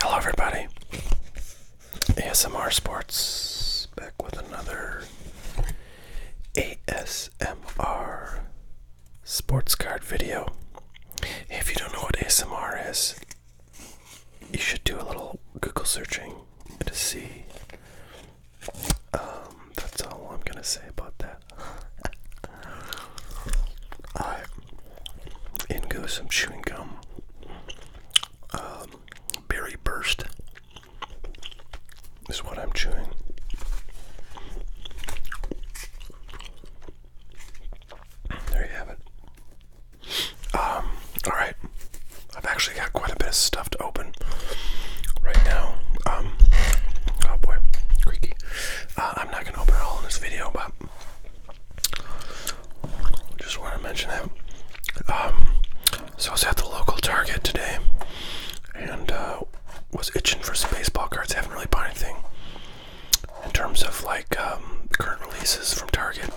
Hello, everybody. ASMR Sports back with another ASMR sports card video. If you don't know what ASMR is, you should do a little Google searching to see. Um, that's all I'm gonna say about that. In goes some chewing gum. Um, berry burst is what I'm chewing. There you have it. Um, alright. I've actually got quite a bit of stuff to open right now. Um, oh boy, creaky. Uh, I'm not going to open it all in this video, but just want to mention that. Um, so I was at the local Target today, and uh, was itching for some baseball cards. I haven't really bought anything in terms of like um, current releases from Target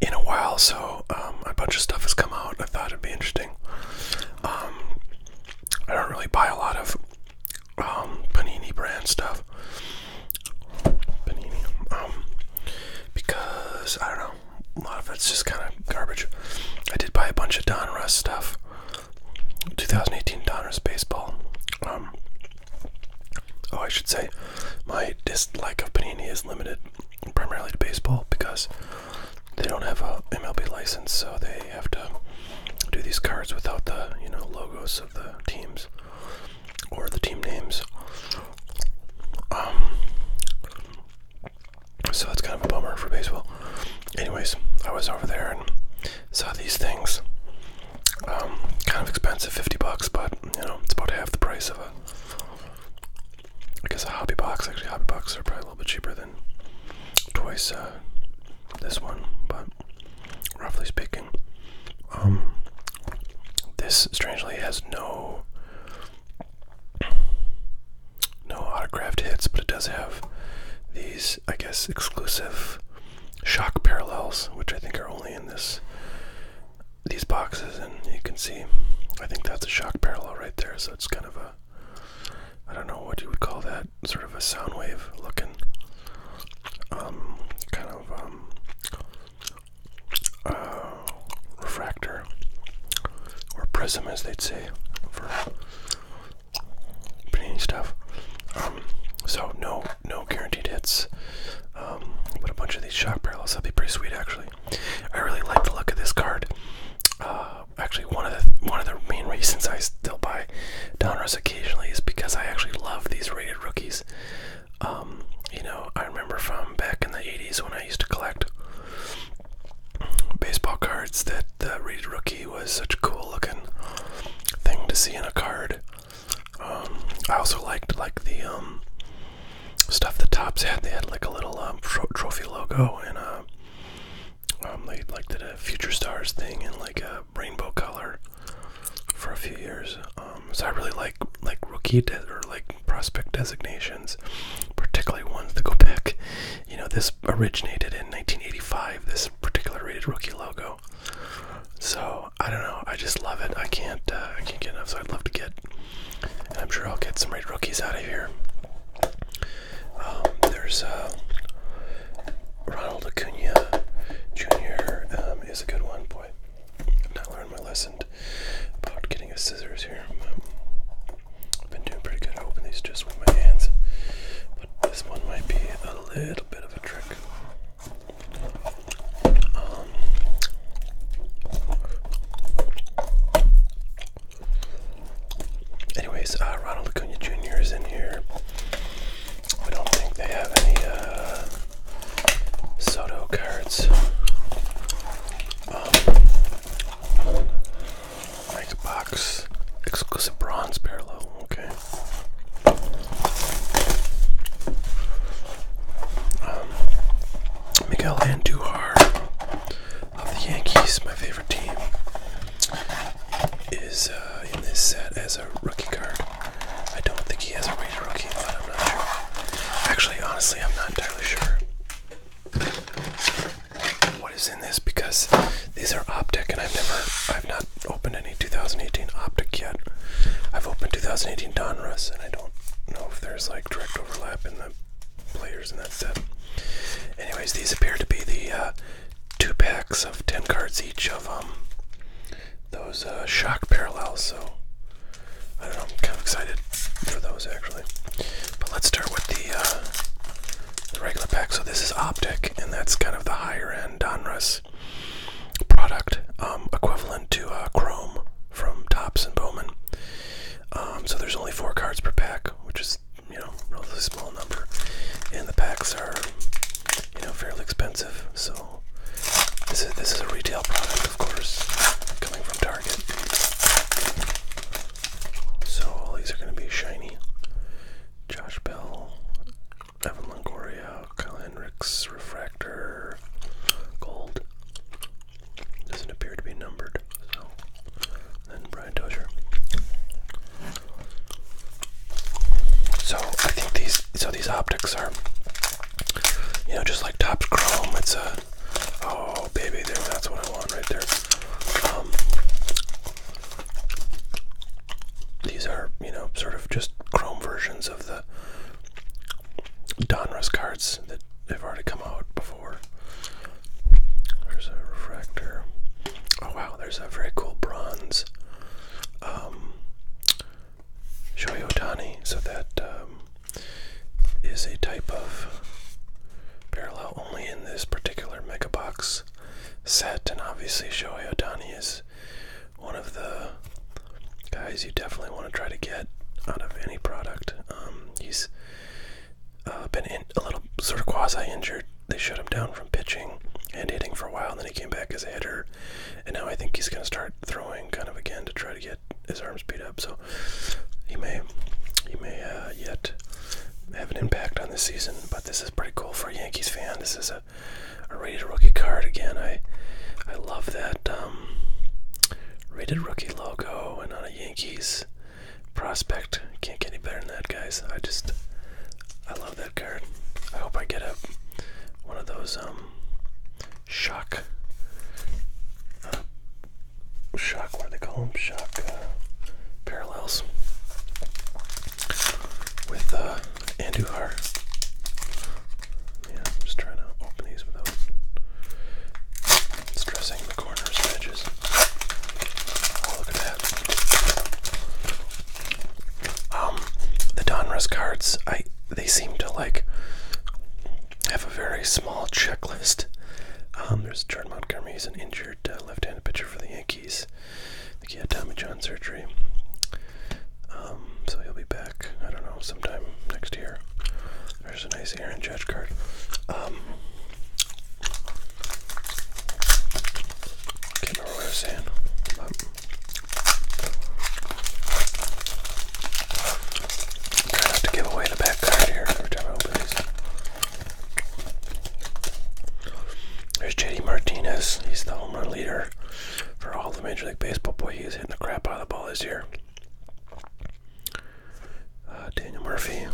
in a while. So um, a bunch of stuff has come out. I thought it'd be interesting. I don't really buy a lot of um, Panini brand stuff. Panini. Um, because I don't know, a lot of it's just kind of garbage. I did buy a bunch of Don Russ stuff. 2018 Don Russ baseball. Um, oh, I should say, my dislike of Panini is limited primarily to baseball because they don't have a MLB license, so they have to do these cards without the you know logos of the teams or the team names. Um, so that's kind of a bummer for baseball. Anyways, I was over there and saw these things. Um, kind of expensive, fifty bucks, but you know it's about half the price of a. I guess a hobby box. Actually, hobby boxes are probably a little bit cheaper than twice uh, this one, but roughly speaking. Um, this strangely has no no autographed hits, but it does have these, I guess, exclusive shock parallels, which I think are only in this these boxes. And you can see, I think that's a shock parallel right there. So it's kind of a I don't know what you would call that sort of a sound wave looking, um, kind of um, uh, refractor or prism, as they'd say, for pretty stuff. Um, so no, no guaranteed hits. but a bunch of these shock parallels that'd be pretty sweet, actually. I really like the look of this card. Uh, actually, one of the one of the main reasons I still buy I downrest occasionally is because I actually love these rated rookies. Um, you know, I remember from back in the 80s when I used to collect baseball cards that the rated rookie was such a cool looking thing to see in a card. Um, I also liked like the um, stuff the tops had. They had like a little trophy logo and a uh, um, they like did a Future Stars thing in like a rainbow color for a few years. Um, so I really like like rookie or like prospect designations, particularly ones that go back. You know, this originated in 1985. This particular rated rookie logo. So I don't know. I just love it. I can't. Uh, I can't get enough. So I'd love to get. And I'm sure I'll get some rated rookies out of here. Um, there's uh, Ronald Acuna Jr. Um, is a good one. Boy, I've not learned my lesson about getting a scissors here. Um, I've been doing pretty good. I open these just with my hands, but this one might be a little bit of a trick. anyways, uh, Ronald Acuna Jr. is in here. I don't think they have any uh, Soto cards. Um, box exclusive bronze parallel. Okay. Um, Miguel Andujar of the Yankees, my favorite team, is uh, in this set as a rookie card. I don't think he has a rated rookie, Actually, honestly, I'm not entirely sure what is in this because these are optic, and I've never, I've not opened any 2018 optic yet. I've opened 2018 Donruss, and I don't know if there's like direct overlap in the players in that set. Anyways, these appear to be the uh, two packs of 10 cards each of them. Um, those uh, shock parallels. So I don't know, I'm kind of excited for those actually. But let's start with uh, the, regular pack. So this is Optic, and that's kind of the higher end Donruss product, um, equivalent to uh, Chrome from Tops and Bowman. Um, so there's only four cards per pack, which is you know, relatively small number, and the packs are, you know, fairly expensive. So this is this is a retail product, of course, coming from Target. So all these are going to be shiny. Josh Bell, Evan Longoria, Kyle Hendricks, Refractor, Gold. Doesn't appear to be numbered, and Brian Dozier. So I think these so these optics are you know just like top chrome. It's a oh baby, there that's what I want right there. Um, these are you know sort of just chrome versions of the Donruss cards that have already come out before. There's a refractor. Oh wow, there's a very cool bronze um, Otani. So that um, is a type of parallel only in this particular mega box set, and obviously Shohei Otani is one of the guys you definitely want to try to get out of any product. Um, he's uh, been a little sort of quasi injured they shut him down from pitching and hitting for a while. And then he came back as a hitter, and now I think he's going to start throwing kind of again to try to get his arms beat up. So he may he may uh, yet have an impact on this season. But this is pretty cool for a Yankees fan. This is a rated rookie card again. I I love that um, rated rookie logo and on a Yankees prospect. Can't get any better than that, guys. I just I love that card. I hope I get a one of those um shock uh, shock what do they call them shock uh, parallels with uh, Anduhar. Yeah, just trying to open these without stressing the corners edges. Oh, look at that. Um, the Donruss cards, I they seem to like have a very small checklist. Um, there's Jordan Montgomery, he's an injured uh, left-handed pitcher for the Yankees. I think he had Tommy John surgery. Um, so he'll be back, I don't know, sometime next year. There's a nice Aaron Judge card. Um, can't remember what trying to give away the back card here every time I open these. There's JD Martinez. He's the home run leader for all the Major League Baseball. Boy, he's hitting the crap out of the ball this year. Uh, Daniel Murphy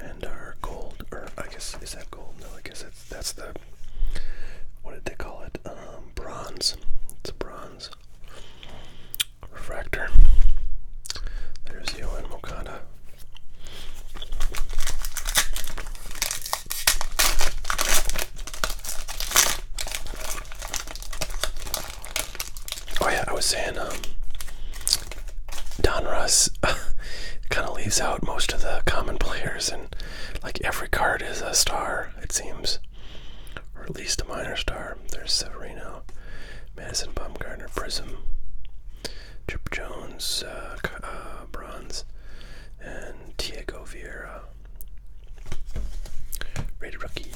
and our gold, or I guess is that gold? No, I guess it's, that's the what did they call it? Um, bronze. It's a bronze refractor. There's Yohan Mokada. Oh yeah, I was saying um Don Russ kind of leaves out most of the common players, and like every card is a star, it seems, or at least a minor star. There's Severino, Madison Bumgarner, Prism, Chip Jones, uh, uh, Bronze, and Diego Vieira, rated rookie.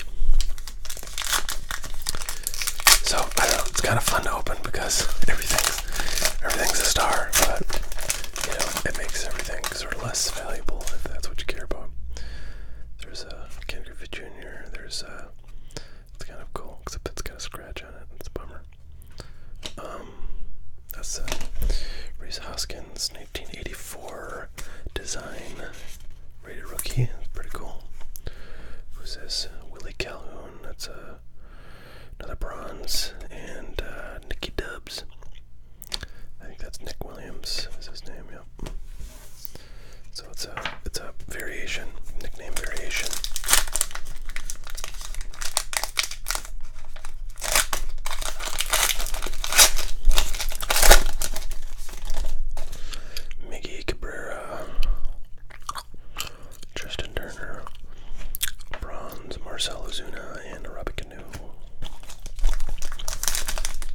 So I don't know. It's kind of fun to open because everything everything's a star, but you know, it makes everything sort of less valuable if that's what you care about. There's a uh, Ken Griffey Jr., there's a. it's kind of cool, except it's got a scratch on it. It's a bummer. Um, that's a Reese Hoskins, 1984 design, rated rookie. Pretty cool. Who's this? Willie Calhoun. That's a another bronze, and uh, Nikki Dubs. I think that's Nick Williams is his name. Yep. So it's a it's a variation, nickname variation. Miggy Cabrera. Tristan Turner, bronze Marcelo Zuna, and Robbie Canoe.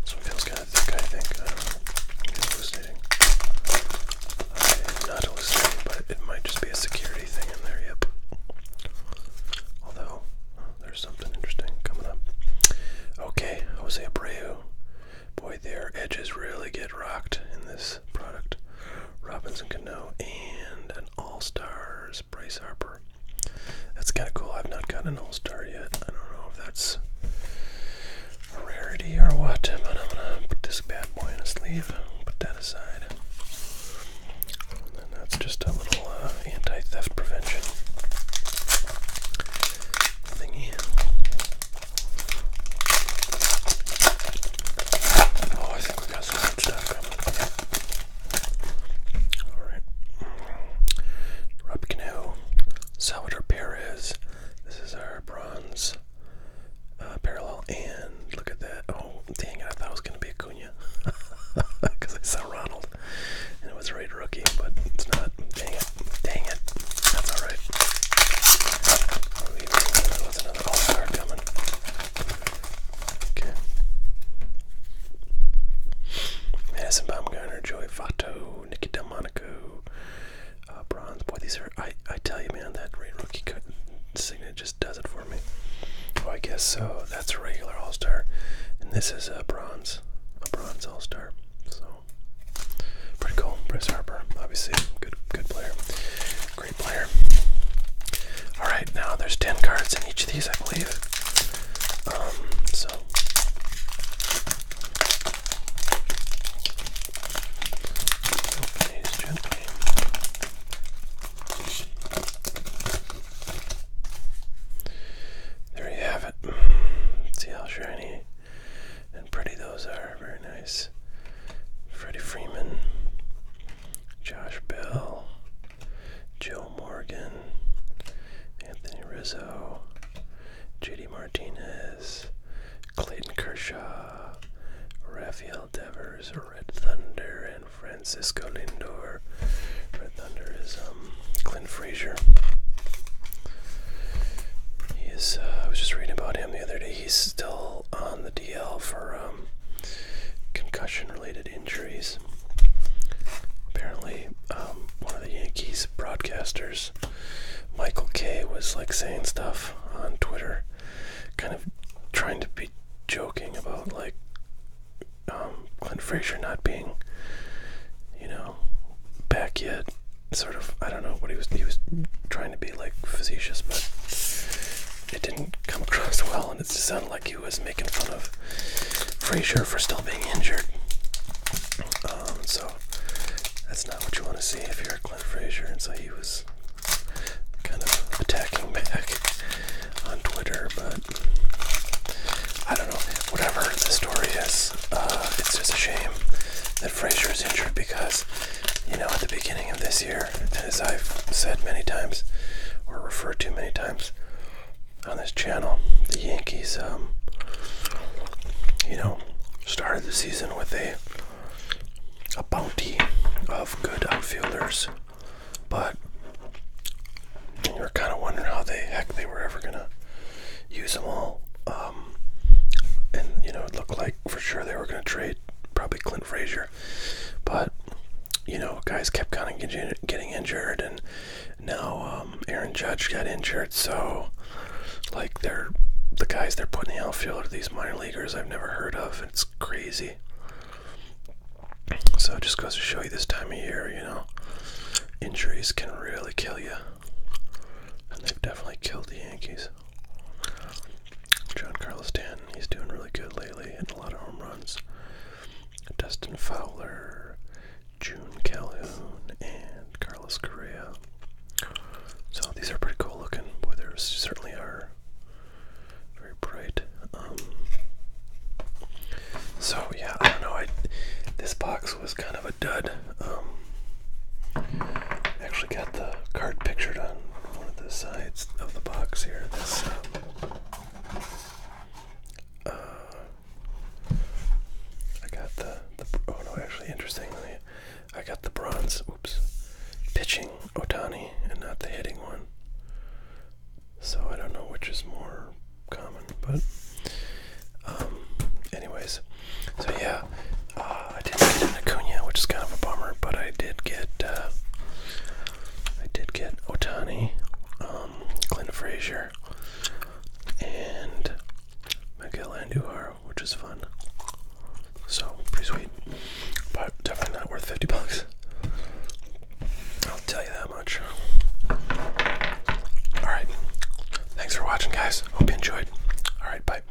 So it feels kind of thick, I think. not know. It's hallucinating. but it might just be a security thing in there, yep. Although, there's something interesting coming up. Okay, Jose Abreu. Boy, their edges really get rocked in this product. Robinson Cano, and an All Stars Bryce Harper. That's kind of cool. I've not gotten an All Star yet. I don't know if that's a rarity or what, but I'm gonna put this bad boy in a sleeve. Put that aside. that's just a little uh, anti-theft prevention thing Oh, I think we got some good stuff coming. Alright. Rob Cano, Salvador Perez. This is our bronze uh, parallel. And look at that. Oh, dang it. I thought it was going to be Acuna. Because I saw Ronald. And it was a right rookie, but it's not. Dang it. Dang it. That's alright. Oh, they coming. Okay. Madison Baumgartner, Joey Votto, Nicky Delmonico, uh, Bronze. Boy, these are, I, I tell you, man, that Rookie cut just does it for me. Oh, I guess so. That's a regular All Star. And this is a bronze, a bronze All Star. So, pretty cool. Bryce Harper, obviously, good good player. Great player. Alright, now there's 10 cards in each of these, I believe. Um, so. Open gently. There you have it. See how shiny and pretty those are. Very nice. Freddie Freeman, Josh Bell, Joe Morgan, Anthony Rizzo, JD Martinez, Clayton Kershaw, Rafael Devers, Red Thunder, and Francisco Lindor. Red Thunder is um, Clint Frazier. He is. Uh, I was just reading about him the other day he's still on the DL for um, concussion-related injuries. Apparently, um, one of the Yankees broadcasters, Michael K, was like saying stuff on Twitter, kind of trying to be joking about like um, Clint Fraser not being, you know, back yet. Sort of, I don't know what he was. He was trying to be like facetious, but it didn't come across well, and it sounded like he was making fun of Frazier for still being injured. Um, so that's not what you want to see if you're Clint Frazier, and so he was kind of attacking back on Twitter, but I don't know. Whatever the story is, uh, it's just a shame that Frazier is injured because, you know, at the beginning of this year, as I've said many times or referred to many times on this channel, the Yankees, um, you know, started the season with a a bounty of good outfielders, but you were kind of wondering how the heck they were ever gonna use them all. Um, and you know, it looked like for sure they were gonna trade probably Clint Frazier. But you know, guys kept kind of getting injured, and now um, Aaron Judge got injured. So like they're the guys they're putting in the outfield are these minor leaguers I've never heard of. It's crazy. So it just goes to show you this time of year, you know, injuries can really kill you. And they've definitely killed the Yankees. John Carlos Stanton, he's doing really good lately, hitting a lot of home runs. Dustin Fowler, June Calhoun, and Carlos Correa. So these are pretty cool looking. Boy, there certainly are very bright. Um, so yeah, I don't know. this box was kind of a dud. Um, actually got the card pictured on one of the sides of the box here. This um, uh, I got the, oh no, actually interestingly, I got the bronze. Oops, pitching Otani and not the hitting one. So I don't know which is more common, but um, anyways, so yeah. Uh, I didn't get an Acuna, which is kind of a bummer, but I did get uh, I did get Otani, um, Clint Fraser, and Miguel Andujar, which is fun. So pretty sweet, but definitely not worth fifty bucks. I'll tell you that much. All right, thanks for watching, guys. Hope you enjoyed. All right, bye.